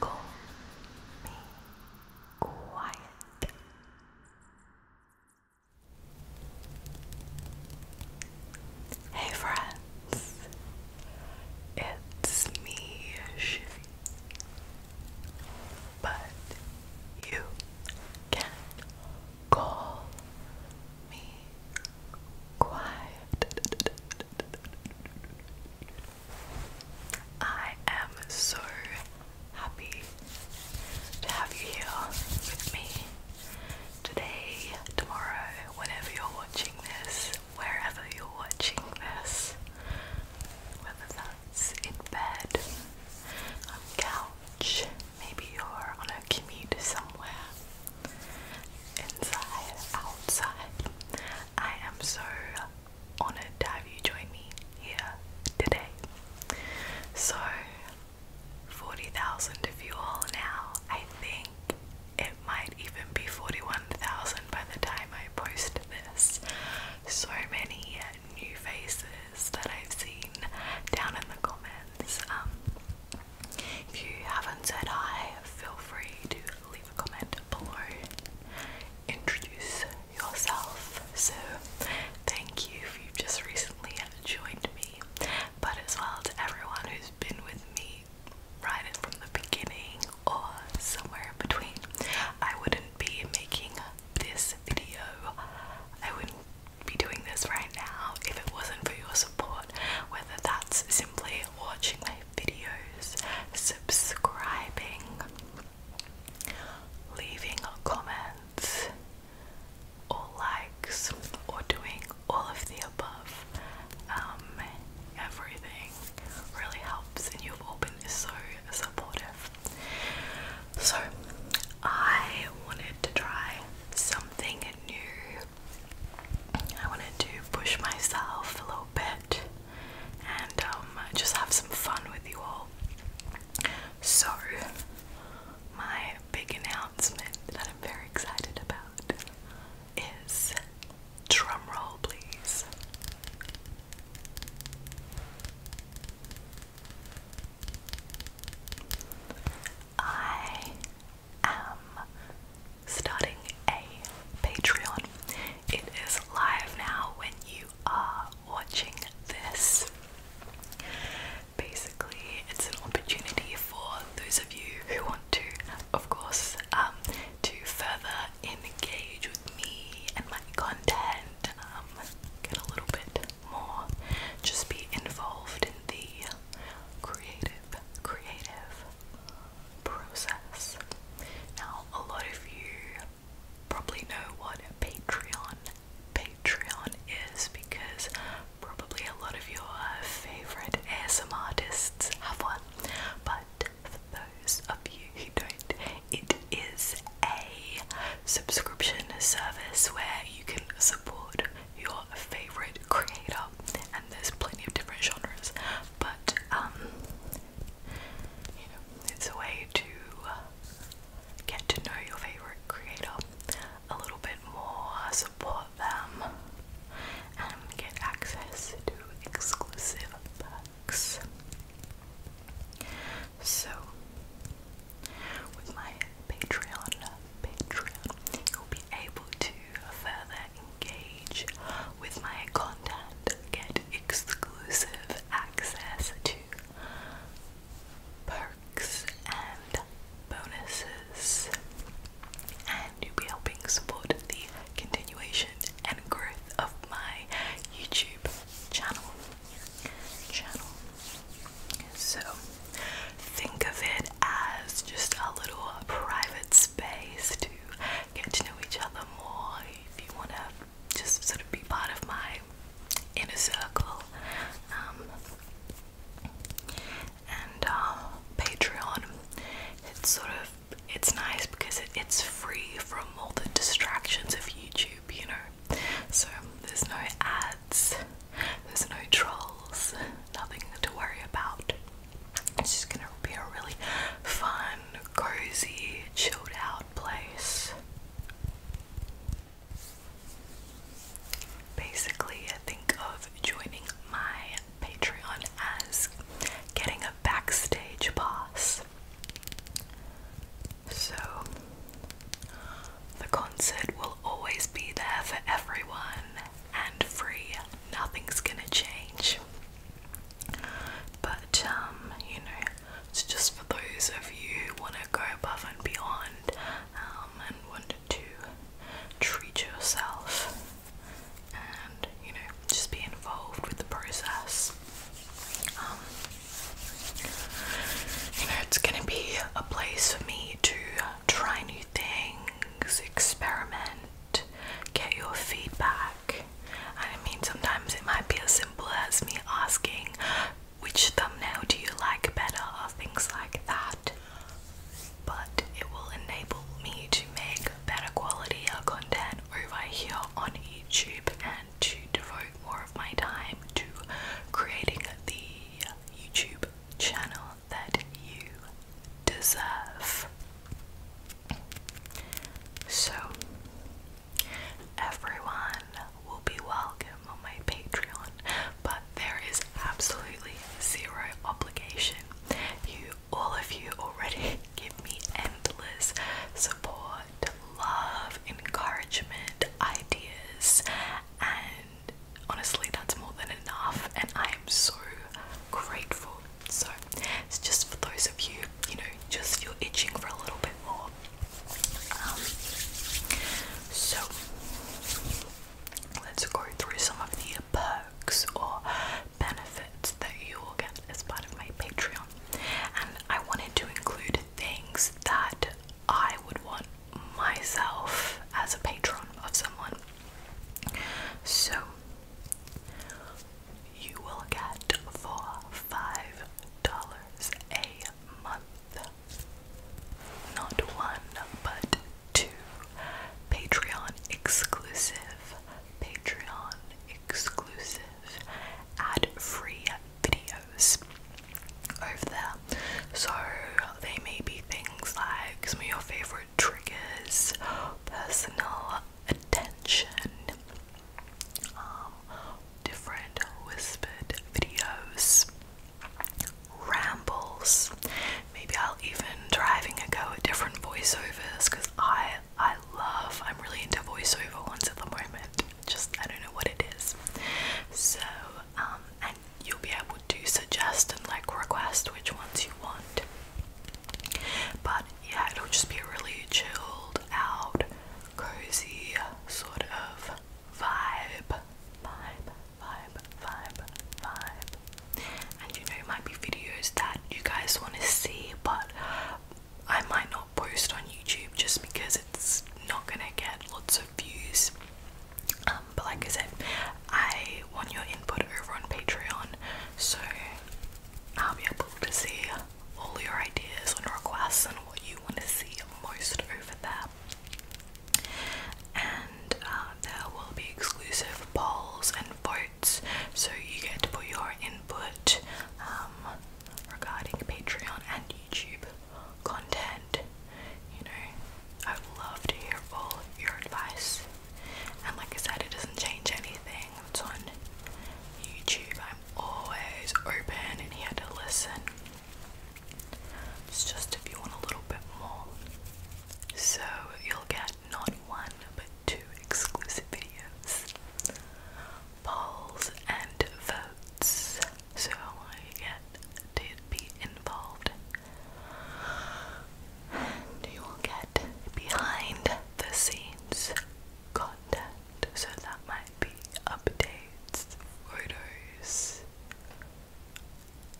Call me quiet. Hey friends, it's me, Shivy. But you can call me quiet. I am so happy to have you here with me today, tomorrow, whenever you're watching this, wherever you're watching this, whether that's in bed, on the couch, maybe you're on a commute somewhere inside, outside. I am so honored to have you join me here today. So, 40,000 of you all now. I think it might even be 41,000 by the time I post this. So many new faces that I've seen down in the comments. Um, if you haven't said hi, feel free to leave a comment below. Introduce yourself. So, thank you if you've just recently joined me, but as well to everyone who's been with me right from the beginning or somewhere in between. I wouldn't be making this video, I wouldn't be doing this right now if it wasn't for your support whether that's simply watching my videos, subscribing, leaving comments or likes, or doing all of the above. Um, everything really helps, and you've all been so supportive. So, I wanted to try something new I wanted to push myself a little bit and um, just have some fun with you all. So, my big announcement that I'm very excited about is drumroll, please. I i am starting a Patreon. It is live now when you are watching this. Basically, it's an opportunity for those of you who want to, of course, um, to further engage with me and my content, um, get a little bit more, just be involved in the creative, creative process. Now, a lot of you probably know what Patreon Patreon is because probably a lot of your favorite ASMR artists have one. But for those of you who don't, it is a subscription service where you can support your favorite creator, and there's plenty of different genres, but um, you know, it's a way to uh, get to know your favorite creator a little bit more, support them, and get access to exclusive perks. So, with my Patreon Patreon, you'll be able to further engage with my content, get exclusive access to perks and bonuses, and you'll be helping support the continuation and growth of my YouTube channel. Channel. So think of it as just a little private space to get to know each other more. If you want to just sort of be part of my inner circle. Um, and um, Patreon, it's sort of it's nice because it, it's free from all the distractions of YouTube, you know. So there's no ads. There's no trolls, nothing to worry about. It's just gonna be a really fun, cozy, chilled out place. Basically, I think of joining my Patreon as getting a backstage pass. So the concert will always be there for everyone and free. Nothing's gonna change. But, um, you know, it's just for those of you who want to go above and beyond um, and want to treat yourself and, you know, just be involved with the process. Um, you know, it's gonna be a place for me to try new things, experiment, get your feedback. I mean, sometimes it might be as simple as me asking, which thumbnail do you like better, or things like that. But it will enable me to make better quality uh, content over here on YouTube and to devote more of my time to creating the YouTube channel that you deserve. So, everyone will be welcome on my Patreon, but there is absolutely zero obligation. You, all of you, already give me endless support, love, encouragement, ideas, and honestly, that's more than enough, and I am so grateful. So, it's just for those of you, you know, just feel itching for a little bit more. Um, so, let's go through some of the perks or benefits that you will get as part of my Patreon, and I wanted to include things that I would want myself as a patron of someone. So you will get for five dollars a month not one but two Patreon exclusive Patreon exclusive ad free videos over there. So they may be things like some of your favorite triggers, personal attention, um, different whispered videos, rambles. Maybe I'll even driving a go at different voiceovers because I I love I'm really into voiceover ones at the moment. Just I don't know what it is. So um and you'll be able to suggest and like request which ones you want. But yeah, it'll just be a really chilled out, cozy sort of vibe. Vibe, vibe, vibe, vibe. And you know, it might be videos that you guys want to see, but I might not post on YouTube just because it's not gonna get lots views. Um, but like I said, I want your input over on Patreon, so I'll be able to see all your ideas and requests and what you want to see most over there. And uh, there will be exclusive polls and votes, so you get to put your input um, regarding Patreon and YouTube content. You know, I would love to hear all your advice. And like I said, it doesn't change anything. It's on YouTube. I'm always open and here to listen. It's just if you want a little bit more. So you'll get not one but two exclusive videos, polls, and votes so I get to be involved. you will get behind the scenes content, so that might be updates, photos,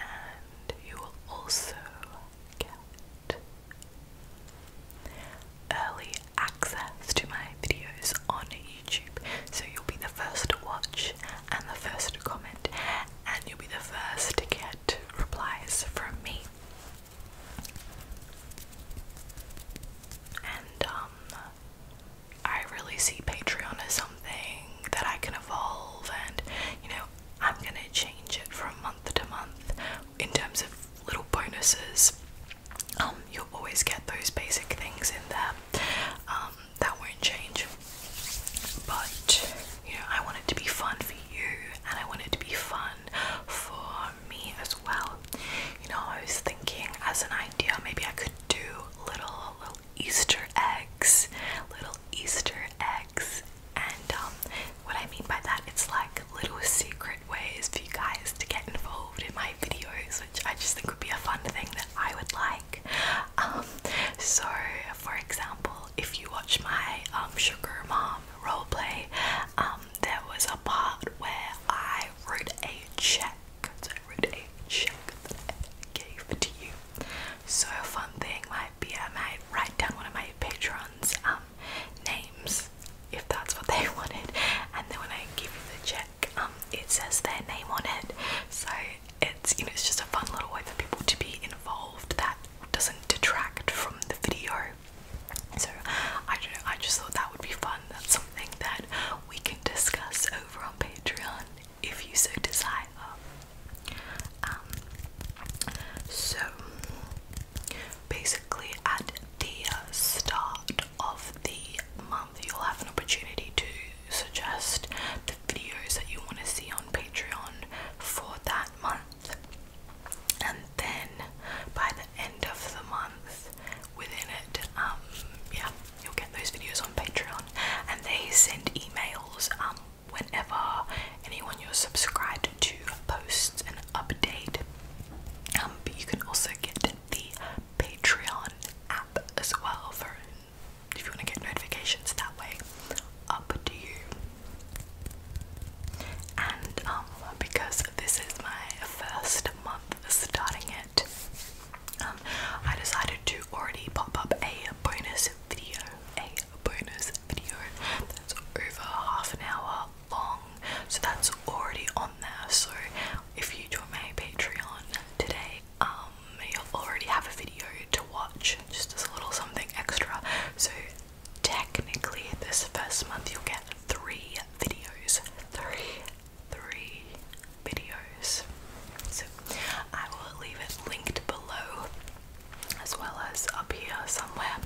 and you will also get early access to my videos on so you'll be the first to watch and the first to comment, and you'll be the first to get replies from me. And um, I really see Patreon as something that I can evolve, and you know, I'm gonna change it from month to month in terms of little bonuses um, you'll always get those basic things in there um, that won't change. But you know, I want it to be fun for you, and I want it to be fun for me as well. You know, I was thinking as an idea, maybe I could do little little Easter eggs, little Easter eggs, and um, what I mean by that, it's like little secret ways for you guys to get involved in my videos, which I just think would be a fun thing that I would like. Um, so, for example, if you watch my um, Sugar Mom roleplay, um, there was a part where I wrote a check. So I wrote a check gave to you. So a fun thing might be I might write down one of my patrons' um, names if that's what they wanted, and then when I give you the check, um, it says their name on it so it's you know it's just a fun little way for people to be involved that doesn't detract from the video so I don't I just thought that would be fun that's something that we can discuss over on Patreon if you so desire um, so basically at the start of the month, you'll have an opportunity to suggest the videos that you want to see on Patreon for that month. And then by the end of the month, within it, um, yeah, you'll get those videos on Patreon. And they send emails um, whenever anyone you're subscribed to posts an update. Um, but you can also get the Patreon app as well for if you want to get notifications that way. Up to you. And um, because this is my first month starting it, um, I decided to already pop up a bonus video. A bonus video that's over half an hour long. So that's already on there. So if you join my Patreon today, um, you'll already have a video to watch just as a little something extra. So technically this first month you'll get three videos. Three three videos. So I will leave it linked below as well as up here somewhere.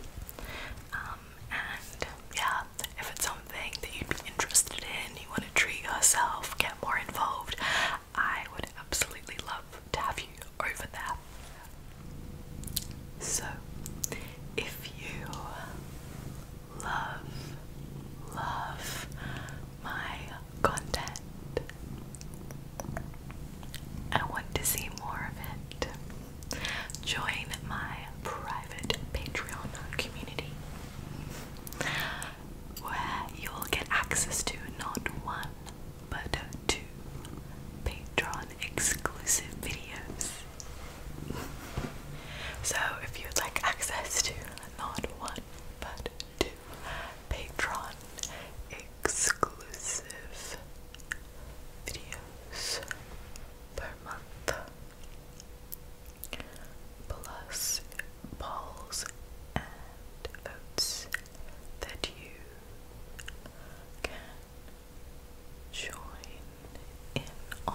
Um and yeah, um, if it's something that you'd be interested in, you want to treat yourself, get more involved, I would absolutely love to have you over there. So, if you love, love my content I want to see more of it, join my private Patreon community where you'll get access to not one but two Patreon exclusive videos. So, if you'd like access to not one but two Patreon exclusive videos per month, plus polls and votes that you can join in on,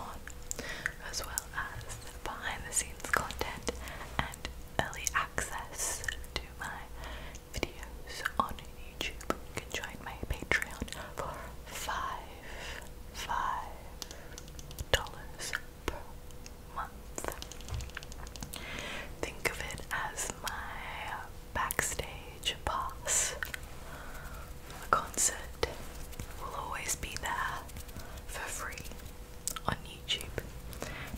as well as behind the scenes content and early access to my videos on YouTube. You can join my Patreon for 5 five dollars per month. Think of it as my backstage pass. The concert will always be there for free on YouTube.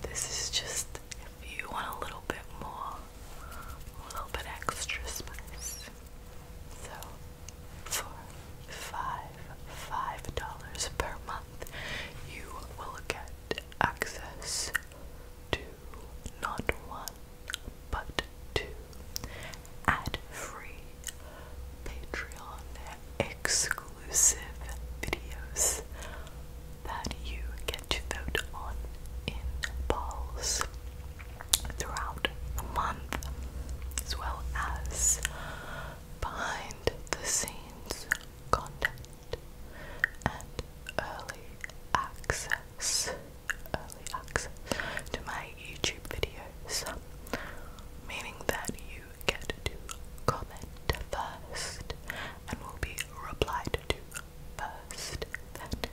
This is just if you want a little bit more, a little bit extra space. So for five five dollars per month you will get access to not one but two ad-free Patreon exclusive videos that you get to vote on in polls throughout the month, as well as behind the scenes content and early access early access to my YouTube videos. Meaning that you get to comment first and will be replied to first. Then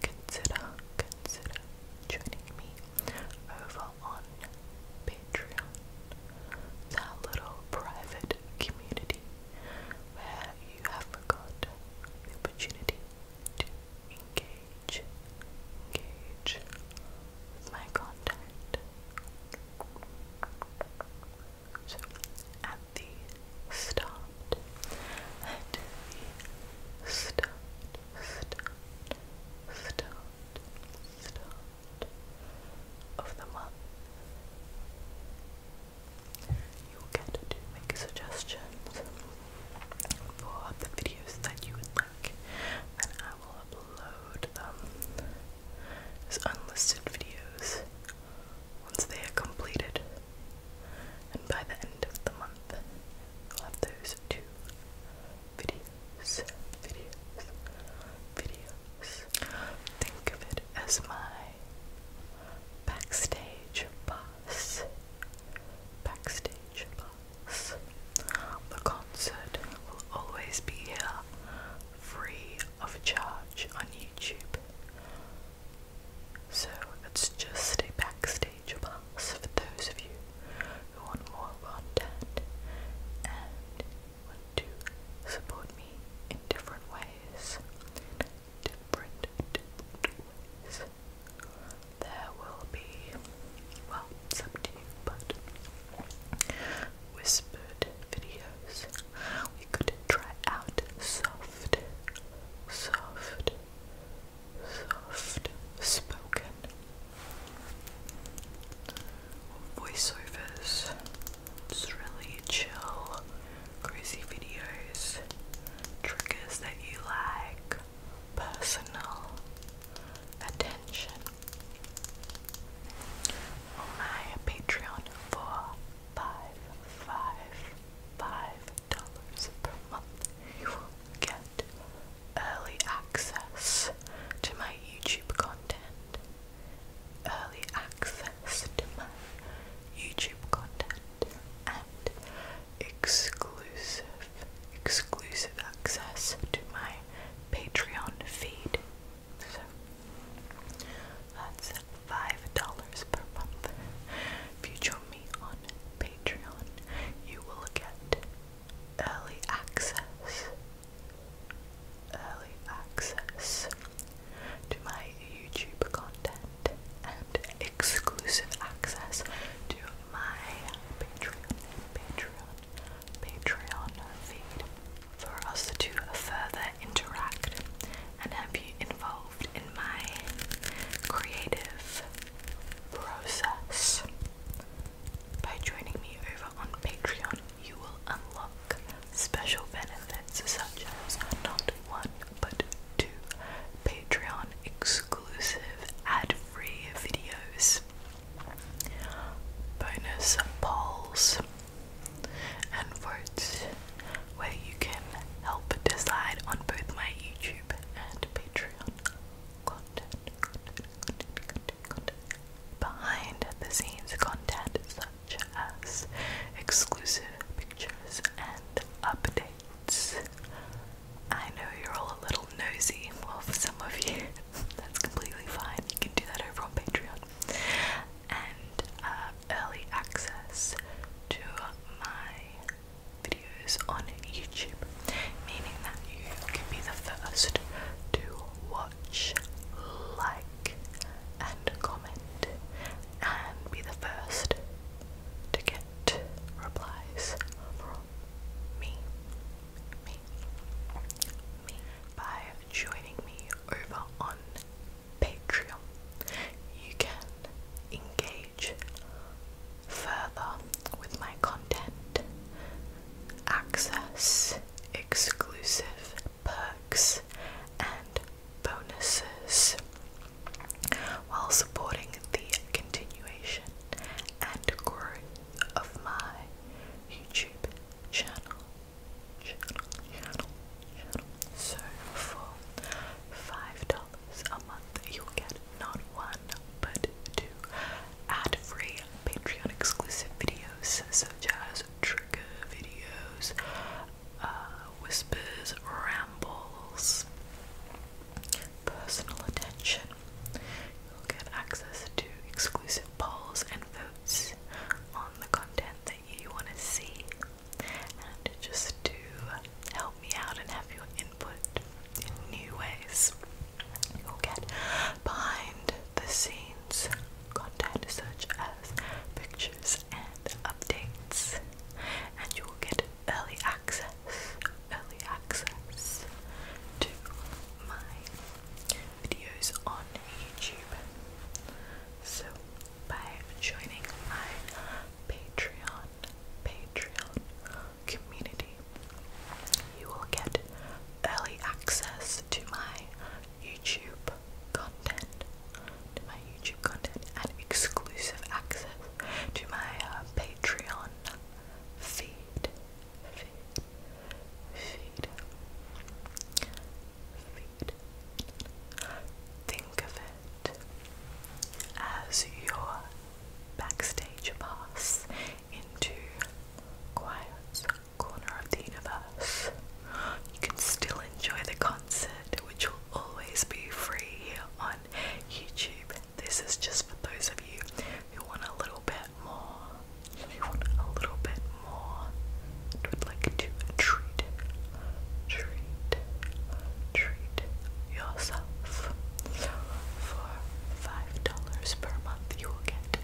consider, consider, joining me over on Patreon. It's little private community where you haven't got opportunity to engage, engage with my content. So at the start, at the start, start, start, start of the month. you get to make suggestions for the videos that you would like, and I will upload um, them as unlisted videos once they are completed. And by the end of the month, you'll have those videos to videos, videos, videos. Think of it as my backstage pass. Backstage pass. The concert will always be here free of charge on YouTube. So it's just a backstage for those of you who want more content and want to support me in different ways. Different, ways. There will be, well, it's up but whispered videos. We could try out soft, soft, soft spoken voiceovers. It's really chill, crazy videos, triggers that you like, personal attention. my Patreon for five, five, five dollars per month you will get early access to my YouTube content. Early access to my YouTube content and exclusive, exclusive access to my Patreon feed. So that's $5 per month. If me on Patreon, you will get early access, early access to my YouTube content and exclusive access to my Patreon, Patreon, Patreon feed for us to further interact and have you involved in my creative process. By joining me over on Patreon, you will unlock special benefits such as not one but two Patreon exclusive ad free videos, bonus polls, and votes where you can help decide on both my YouTube and Patreon content, Behind the scenes content such as exclusive pictures and updates. I know you're all a little nosy, well, for some of you, that's completely fine. You can do that over on Patreon. And early access to my videos on YouTube, meaning that you can be the first to watch, like, and comment, and be the first to get replies from me, me, me, by joining me over on Patreon. You can engage further with my content, access exclusive perks and bonuses while supporting the continuation and growth of my YouTube channel. channel. So for $5 a month, you'll get not one, but two ad-free Patreon exclusive videos such as trigger videos, uh, whispers, rambles, personal attention. You'll get access to exclusive polls and votes on the content that you want to see and just to help me out and have your input in new ways. You'll get behind the scenes content such as pictures and updates, and you will get early access, early access to my videos on YouTube. So by joining my Patreon, Patreon community. You will get early access to my YouTube content, my YouTube content, and exclusive access to my uh, Patreon feed, feed, feed, feed. Think of it as your backstage pass into Quiet's corner of the universe. You can still enjoy the concert, which will always be free here on YouTube. This is just for those of you who want a little bit more, who want a little bit more, and would like to treat treat, treat yourself. For five dollars per month, you will get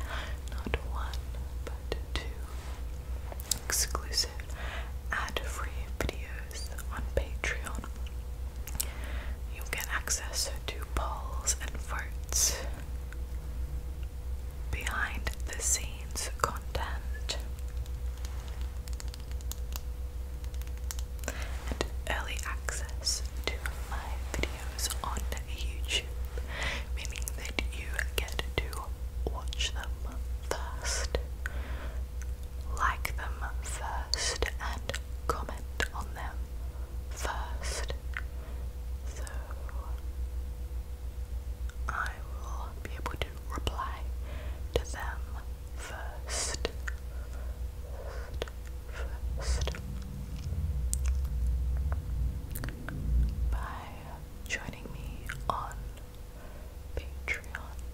not one but two exclusive ad-free videos on Patreon. You'll get access to polls and votes, behind the scenes content, and early access to my videos on YouTube, meaning that you get to watch them first, like them first, and comment on them first. So I will be able to reply to them first. By joining me on Patreon,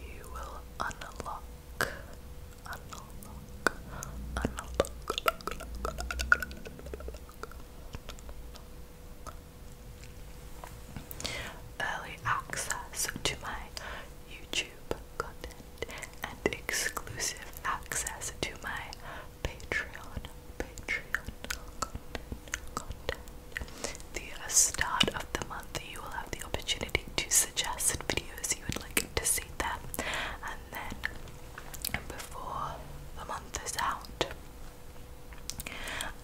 you will unlock, early access to my YouTube content, and exclusive access to my Patreon, Patreon content, The start of the month, you will have the opportunity to suggest videos you would like to see them, and then before the month is out,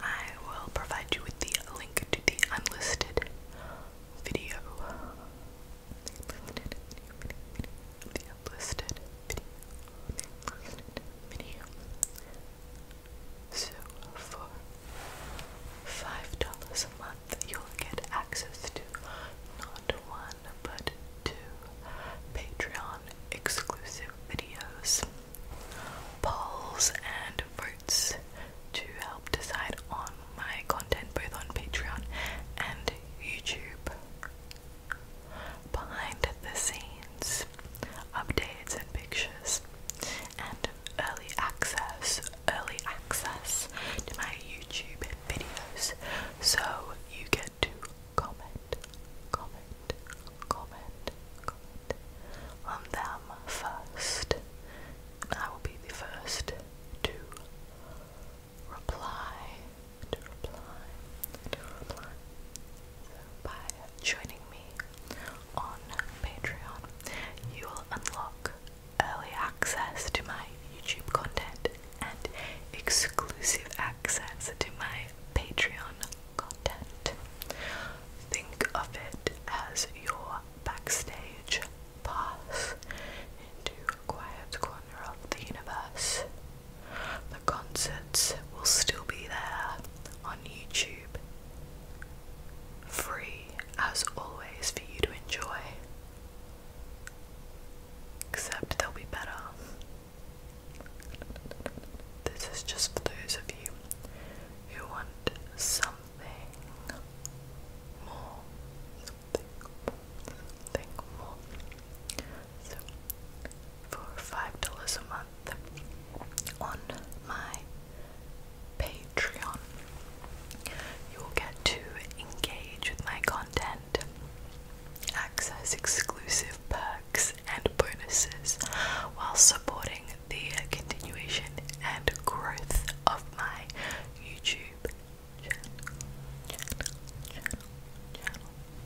I will provide you with the link to the unlisted video. The unlisted video. So for five dollars a month you'll get access to not one but two Patreon exclusive videos polls and votes to help decide on my content both on Patreon and YouTube. Behind the scenes, updates and pictures, and early access, early access to my YouTube videos. So you get to comment, comment, comment, comment on them first. I will be the first to reply, to reply, to reply. So by joining me on Patreon, you will unlock early access to my YouTube content and exclusive access to my Patreon content. Think of it as your backstage pass into a quiet corner of the universe. The concerts will still be there on YouTube, free as always for you to enjoy. Except they'll be better. This is just for those of you who want something more, something something more. So, for five dollars a month on my Patreon, you will get to engage with my content, access exclusive perks and bonuses while supporting the continuation and growth of my YouTube channel.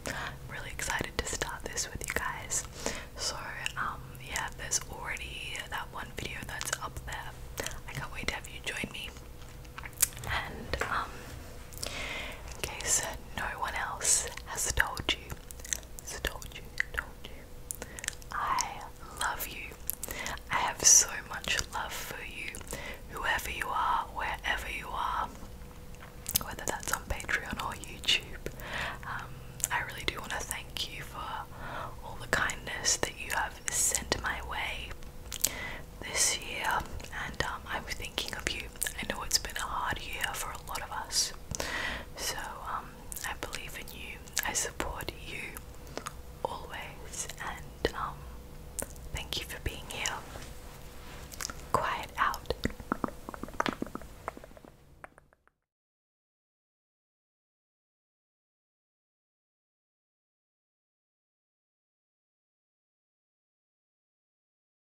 I'm really excited to start this with you guys. So, um, yeah, there's already that one video that's up there. I can't wait to have you join me. And, um, in case no one else has told you, so told you, told you. I love you. I have so much love for you, whoever you are, wherever you are, whether that's on Patreon or YouTube. Um, I really do want to thank you for all the kindness that you have sent my way this year, and um, I'm thinking of you I know it's been a hard year for a lot of us. So um, I believe in you. I support you always. And um, thank you for being here. Quiet out.